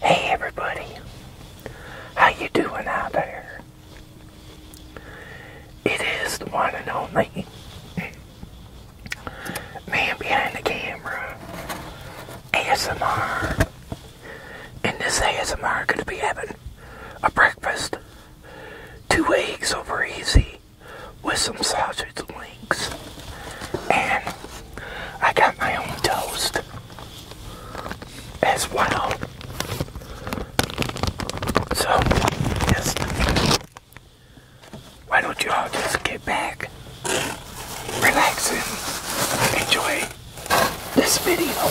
Hey everybody, how you doing out there? It is the one and only man behind the camera, ASMR. And this ASMR gonna be having a breakfast, two eggs over easy with some sausage links. And I got my own toast as well. So, Why don't you all just get back, relax, and enjoy this video?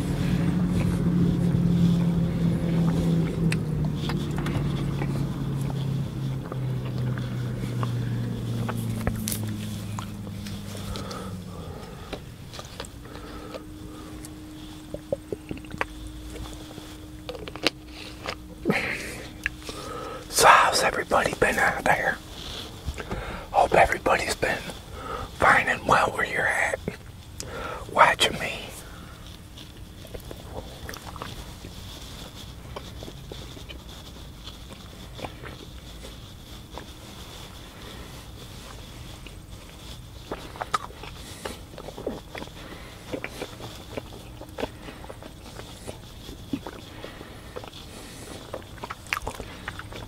So how's everybody been out there? Hope everybody's been fine and well where you're at watching me.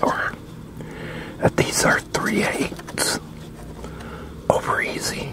Or these are three eights over easy.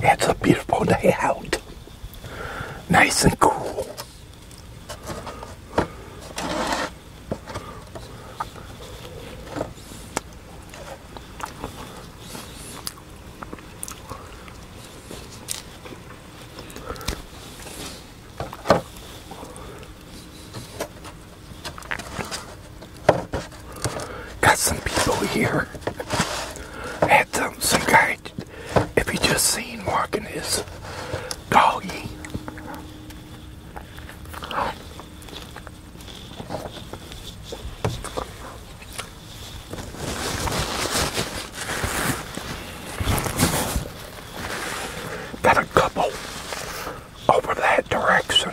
It's a beautiful day out. Nice and cool. Got some people here. Had some, some guy if you just seen walking his doggy. Got a couple over that direction.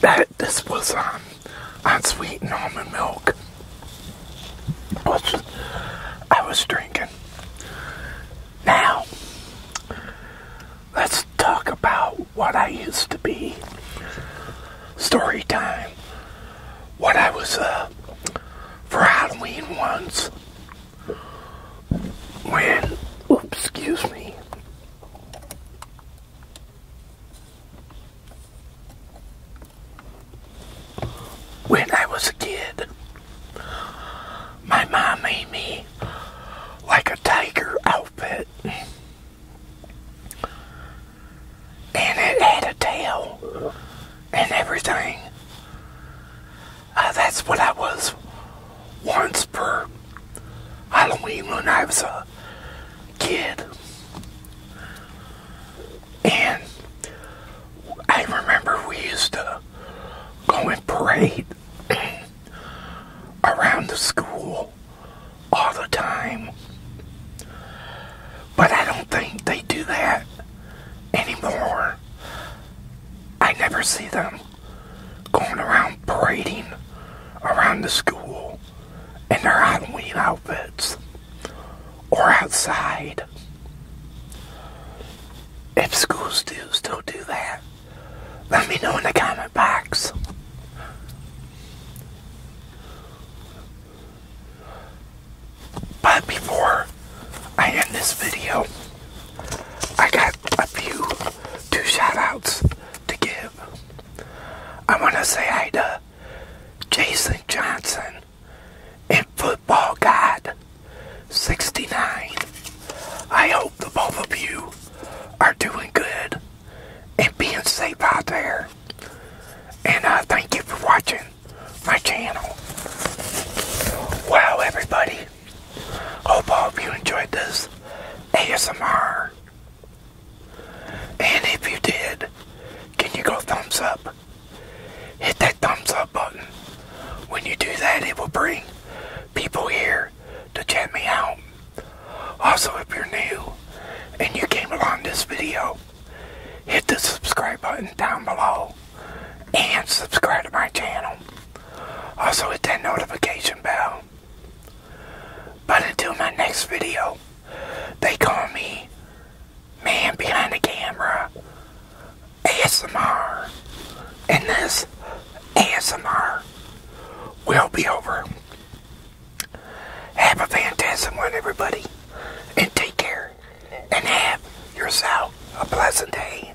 that this was um, on on sweet and almond milk which I was drinking. Now let's talk about what I used to be. Story time. What I was uh, for Halloween once when, oops, excuse me, when I was a kid, my mom made me like a tiger outfit. And it had a tail and everything. Uh, that's what I was once per Halloween when I was a kid. And I remember we used to go and parade around the school all the time. But I don't think they do that anymore. I never see them going around parading around the school in their Halloween outfits or outside. If schools do still do that, let me know in the comment box. But before I end this video, I got a few, two shoutouts to give. I want to say hi to Jason Johnson in Football God 69. I hope the both of you are doing good and being safe out there. And uh, thank you for watching my channel. Wow, everybody. Hope all you enjoyed this ASMR. And if you did, can you go thumbs up? Hit that thumbs up button. When you do that, it will bring people here to chat me out. Also, if you're new and you came along this video, hit the subscribe button down below and subscribe to my channel. Also hit that notification bell. But until my next video, they call me Man Behind the Camera ASMR. And this ASMR will be over. Have a fantastic one, everybody. And take care. And have yourself a pleasant day.